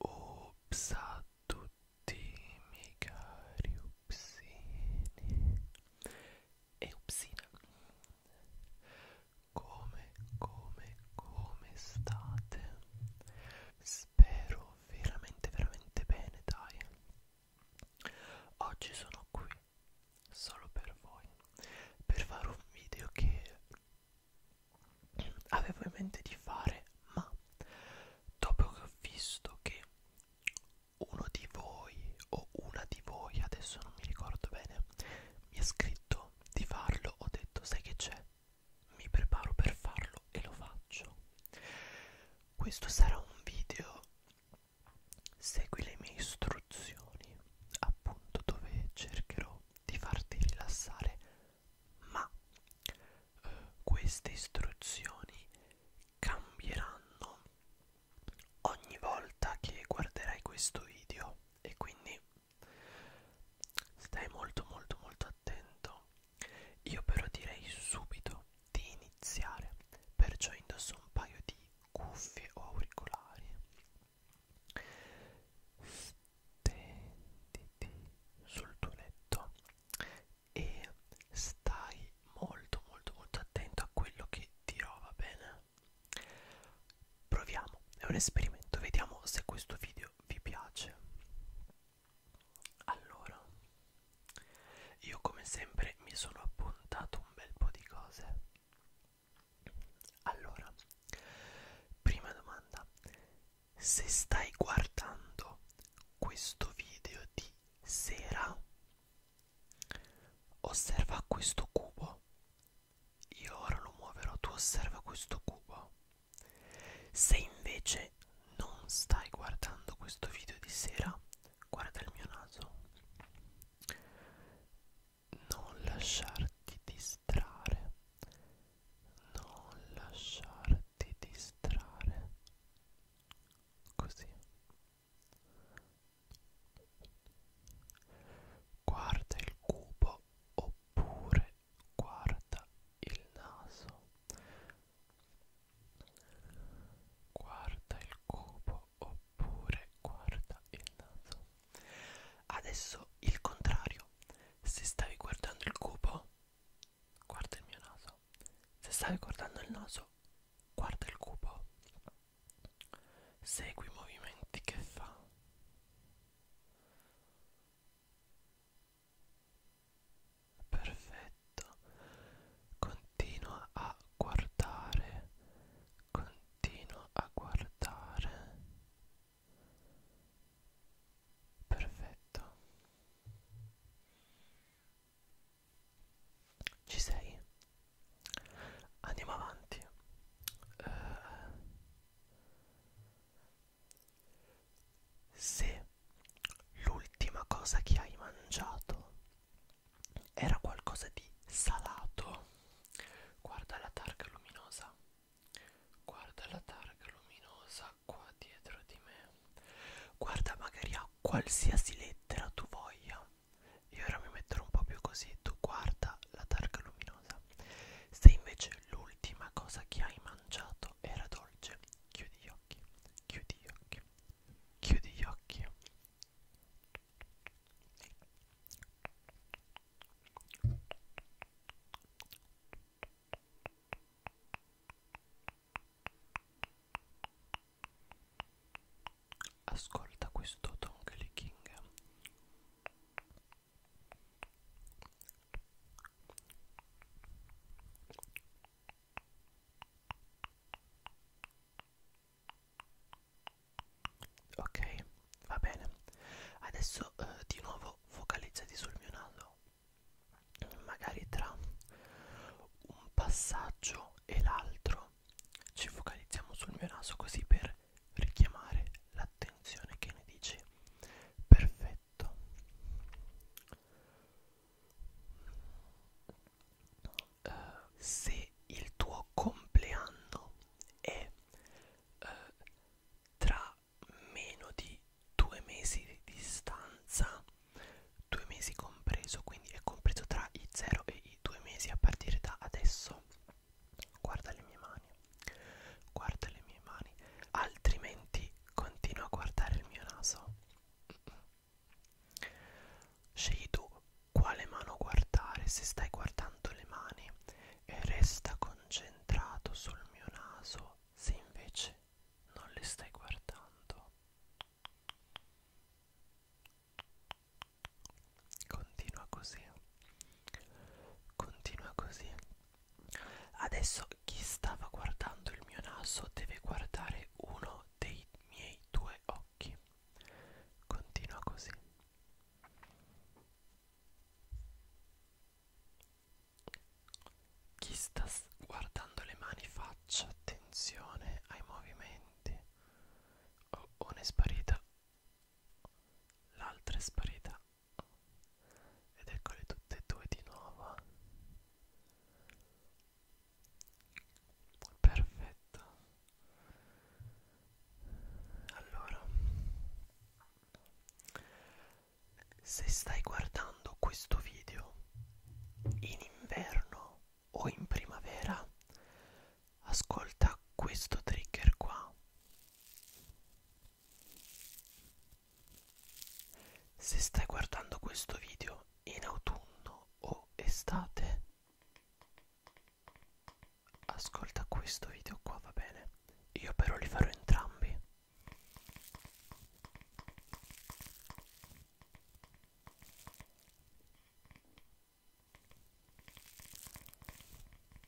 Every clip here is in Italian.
Ups a tutti i miei cari upsini e upsina Come, come, come state? Spero veramente, veramente bene, dai Oggi sono qui solo per voi, per fare un video che avevo in mente di fare, ma dopo che ho visto che uno di voi o una di voi, adesso non mi ricordo bene, mi ha scritto di farlo, ho detto sai che c'è? Mi preparo per farlo e lo faccio questo sarà un video segui le mie istruzioni appunto dove cercherò di farti rilassare ma eh, queste istruzioni cambieranno ogni volta che guarderai questo video e quindi stai molto molto molto attento io però direi subito di iniziare, perciò indosso un paio di cuffie o auricolari. Stenditi sul tuo letto e stai molto molto molto attento a quello che dirò, va bene? Proviamo, è un esperimento, vediamo se questo video vi piace. Allora, io come sempre mi sono appuntato un bel po' di cose. Allora, prima domanda, se stai guardando questo video di sera, osserva questo cubo. Io ora lo muoverò, tu osserva questo cubo. Se invece non stai guardando questo video di sera, guarda il mio naso. Non lasciarti distrarre. Non lasciarti distrarre. Così. Guarda il cubo oppure guarda il naso. Guarda il cubo oppure guarda il naso. Adesso il contrario. Se stavi guardando il cubo, guarda il mio naso. Se stavi guardando il naso, guarda il cubo. Segui i movimenti che fa. Perfetto. Continua a guardare. Continua a guardare. Perfetto. Ci sei? Andiamo avanti. Uh, se l'ultima cosa che hai mangiato era qualcosa di salato, guarda la targa luminosa, guarda la targa luminosa qua dietro di me, guarda magari a qualsiasi lettera tu voglia. Io ora mi metterò un po' più così, tu guarda la targa luminosa. Se invece l'ultima cosa che hai mangiato pronunciato era dolce. Chiudi gli occhi, chiudi gli occhi, chiudi gli occhi. Ascolta questo Donkey King Ok, va bene. Adesso eh, di nuovo focalizzati sul mio naso. Magari tra un passaggio e l'altro ci focalizziamo sul mio naso così per richiamare l'attenzione che ne dici. Perfetto letto uh, se il tuo compleanno è uh, tra meno di due mesi di distanza due mesi compreso quindi è compreso tra i 0 e i due mesi a partire da adesso guarda le mie mani Guarda le mie mani, altrimenti continua a guardare il mio naso. Scegli tu quale mano guardare se stai guardando le mani e resta concentrato sul mio naso se invece non le stai guardando. Continua così. Continua così. Adesso chi stava guardando il mio naso deve guardare uno dei miei due occhi. Continua così. Chi sta guardando le mani faccia attenzione ai movimenti. Oh, una è sparita, l'altra è sparita ed eccole tutte e due di nuovo perfetto allora se stai guardando questo video in inverno o in primavera ascolta questo trigger qua se stai guardando questo video in autunno o estate, ascolta questo video qua, va bene? Io però li farò entrambi.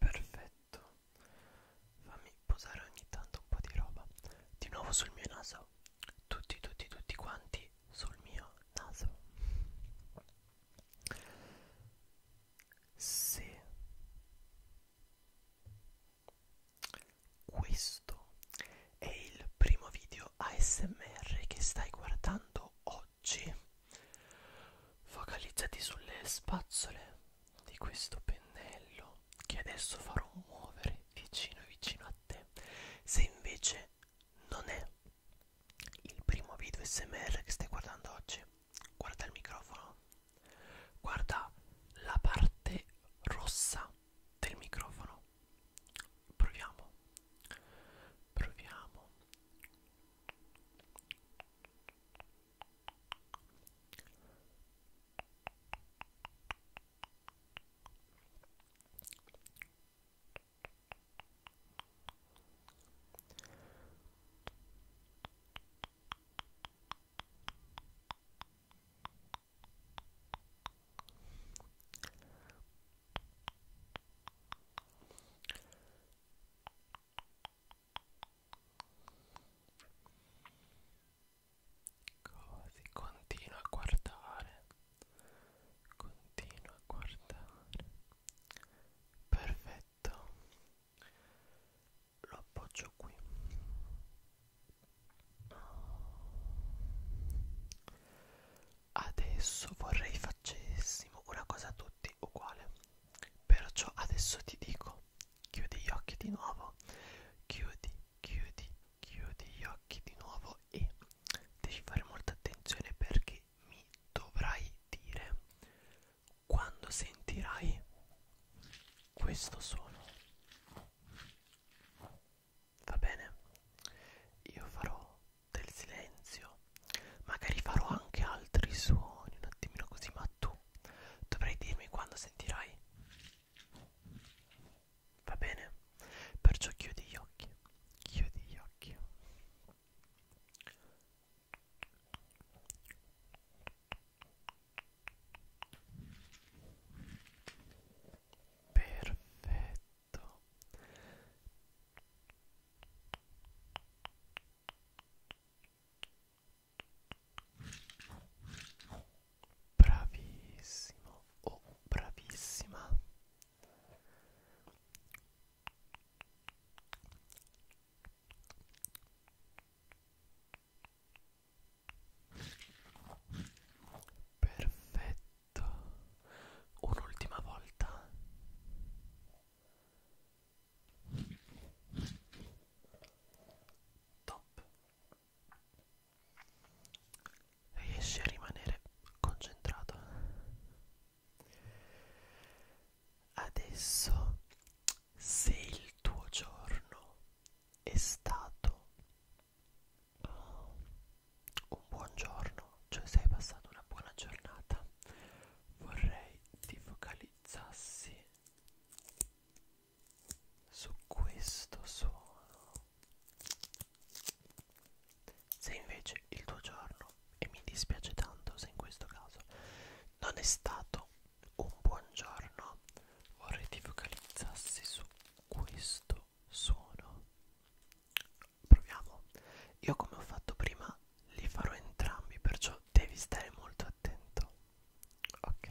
Perfetto, fammi posare ogni tanto un po' di roba. Di nuovo sul mio naso. Tutti, tutti, tutti quanti sul mio naso. Se questo è il primo video ASMR che stai guardando oggi. Focalizzati sulle spazzole di questo pennello che adesso farò muovere vicino vicino a te. Se invece non è il primo video ASMR che stai guardando oggi, guarda il microfono, guarda la parte rossa del microfono proviamo proviamo Così continua a guardare, continua a guardare. Perfetto, lo appoggio qui. Adesso vorrei facessimo una cosa a tutti uguale. Perciò adesso ti dico, chiudi gli occhi di nuovo, chiudi, chiudi, chiudi gli occhi di nuovo e devi fare molta attenzione perché mi dovrai dire quando sentirai questo suono va bene? Io farò del silenzio, magari farò anche altri suoni, un attimino così, ma tu dovrai dirmi quando sentirai. Va bene? Perciò chiudi gli occhi, chiudi gli occhi perfetto bravissimo o oh, bravissima Perfetto. Un'ultima volta. Top. Riesci a rimanere concentrato. Adesso, se il tuo giorno è stato un buongiorno, cioè sei passato una buona giornata, vorrei ti focalizzassi su questo suono. Se invece il tuo giorno, e mi dispiace tanto se in questo caso non è stato un buon giorno, vorrei ti focalizzassi su questo suono proviamo io come ho fatto prima li farò entrambi perciò devi stare molto attento ok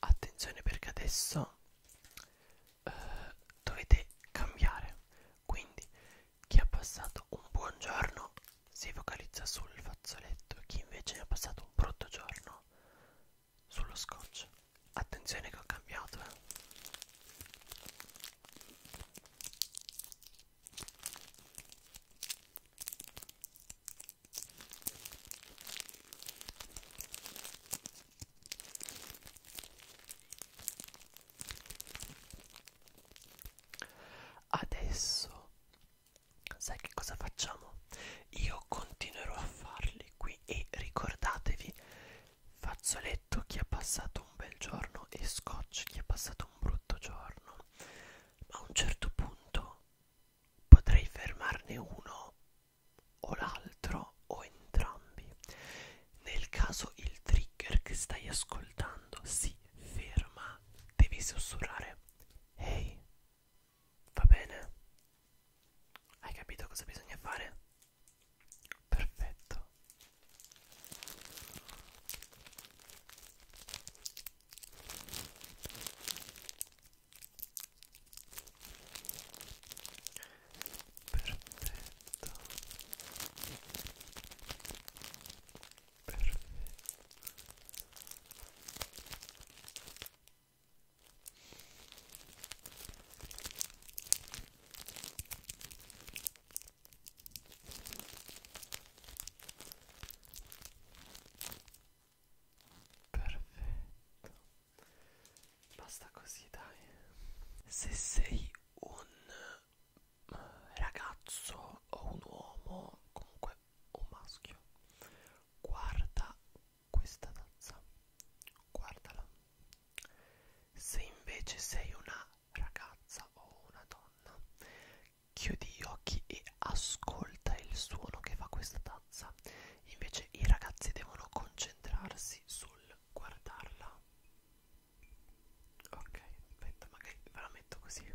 Attenzione perché adesso eh, dovete cambiare. Quindi chi ha passato un buon giorno si focalizza sul fazzoletto, chi invece ne ha passato un brutto giorno sullo scotch attenzione che ho cambiato eh. Adesso sai che cosa facciamo? Io continuerò a farli qui e ricordatevi fazzoletto chi ha passato un bel giorno e scotch chi ha passato un brutto giorno. Ma a un certo punto potrei fermarne uno o l'altro o entrambi. Nel caso il trigger che stai ascoltando si ferma, devi sussurrare. Ehi, hey, Va bene? Hai capito cosa bisogna fare? Perfetto. Perfetto. Perfetto. Perfetto. Basta così, dai. Se sei un eh, ragazzo o un uomo, comunque o maschio. Guarda questa tazza, guardala. Se invece sei una ragazza o una donna, chiudi gli occhi e ascolta il suono che fa questa tazza. Invece i ragazzi devono concentrarsi sul guardarla. Ok, aspetta, magari ve la metto così.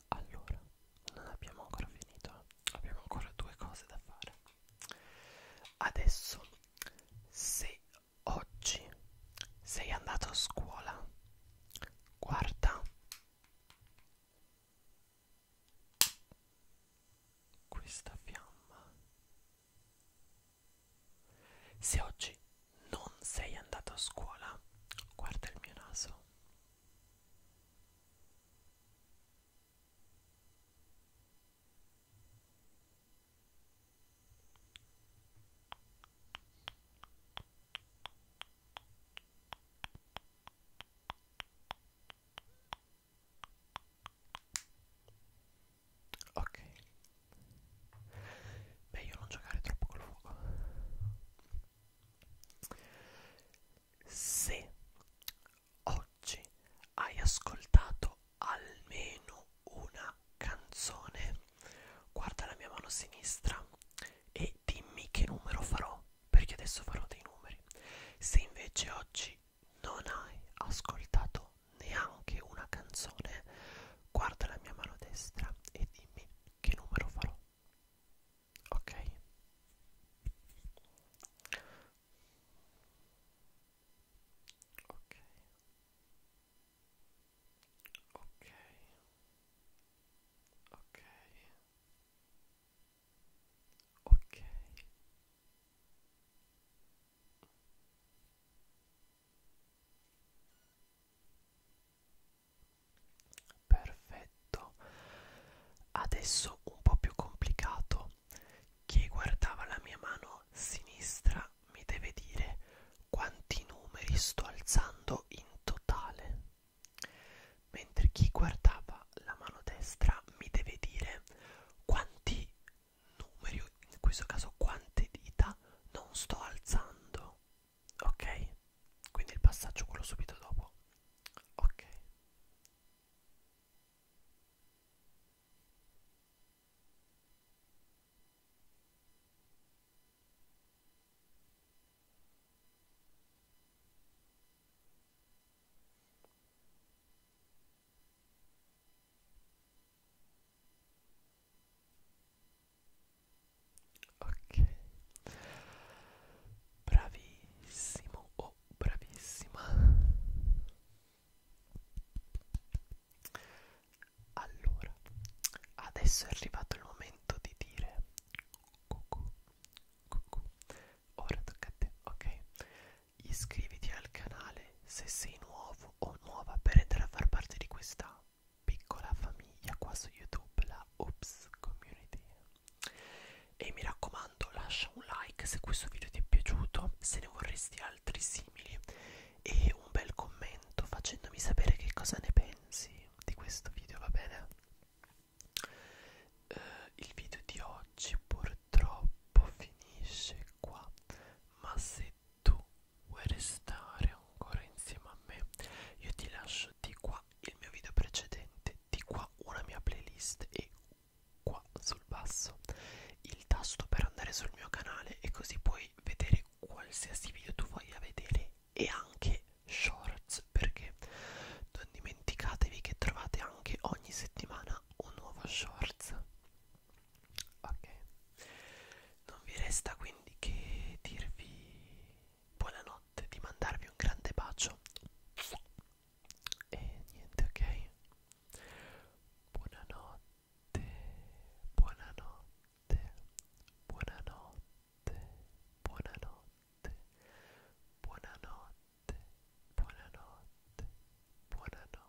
Allora, non abbiamo ancora finito, abbiamo ancora due cose da fare. Adesso, se oggi sei andato a scuola, guarda questa fiamma. Se oggi non sei andato a scuola? Guarda il mio naso. Ok. Meglio non giocare troppo col fuoco. Se oggi hai ascoltato almeno una canzone, guarda la mia mano sinistra e dimmi che numero farò, perché adesso farò dei numeri. Se invece oggi non hai ascoltato neanche una canzone, guarda la mia mano destra e dimmi che numero farò ok ok ok ok ok ok Perfetto. Adesso un po' più complicato. Chi guardava la mia mano sinistra mi deve dire quanti numeri sto alzando in totale. Mentre chi guardava la mano destra mi deve dire quanti numeri, in questo caso quante dita, non sto alzando ok quindi il passaggio quello subito dopo ok ok bravissimo o oh, bravissima allora adesso è arrivato il momento di dire cucù cucù ora tocca a te ok iscriviti al canale se sei nuovo o nuova per entrare a far parte di questa piccola famiglia qua su YouTube, la Oops Community. E mi raccomando, lascia un like se questo video ti è piaciuto, se ne vorresti altri simili, e un bel commento facendomi sapere che cosa ne pensi di questo video, va bene? Uh, il video di oggi purtroppo finisce qua, ma se tu vuoi restare ancora insieme a me io ti lascio di qua il mio video precedente di qua una mia playlist e qua sul basso il tasto per andare sul mio canale e così puoi vedere qualsiasi video tu voglia vedere e anche shorts perché non dimenticatevi che trovate anche ogni settimana un nuovo shorts ok non vi resta quindi che dirvi buonanotte di mandarvi un grande bacio e niente ok buonanotte buonanotte buonanotte buonanotte buonanotte buonanotte buonanotte buonanotte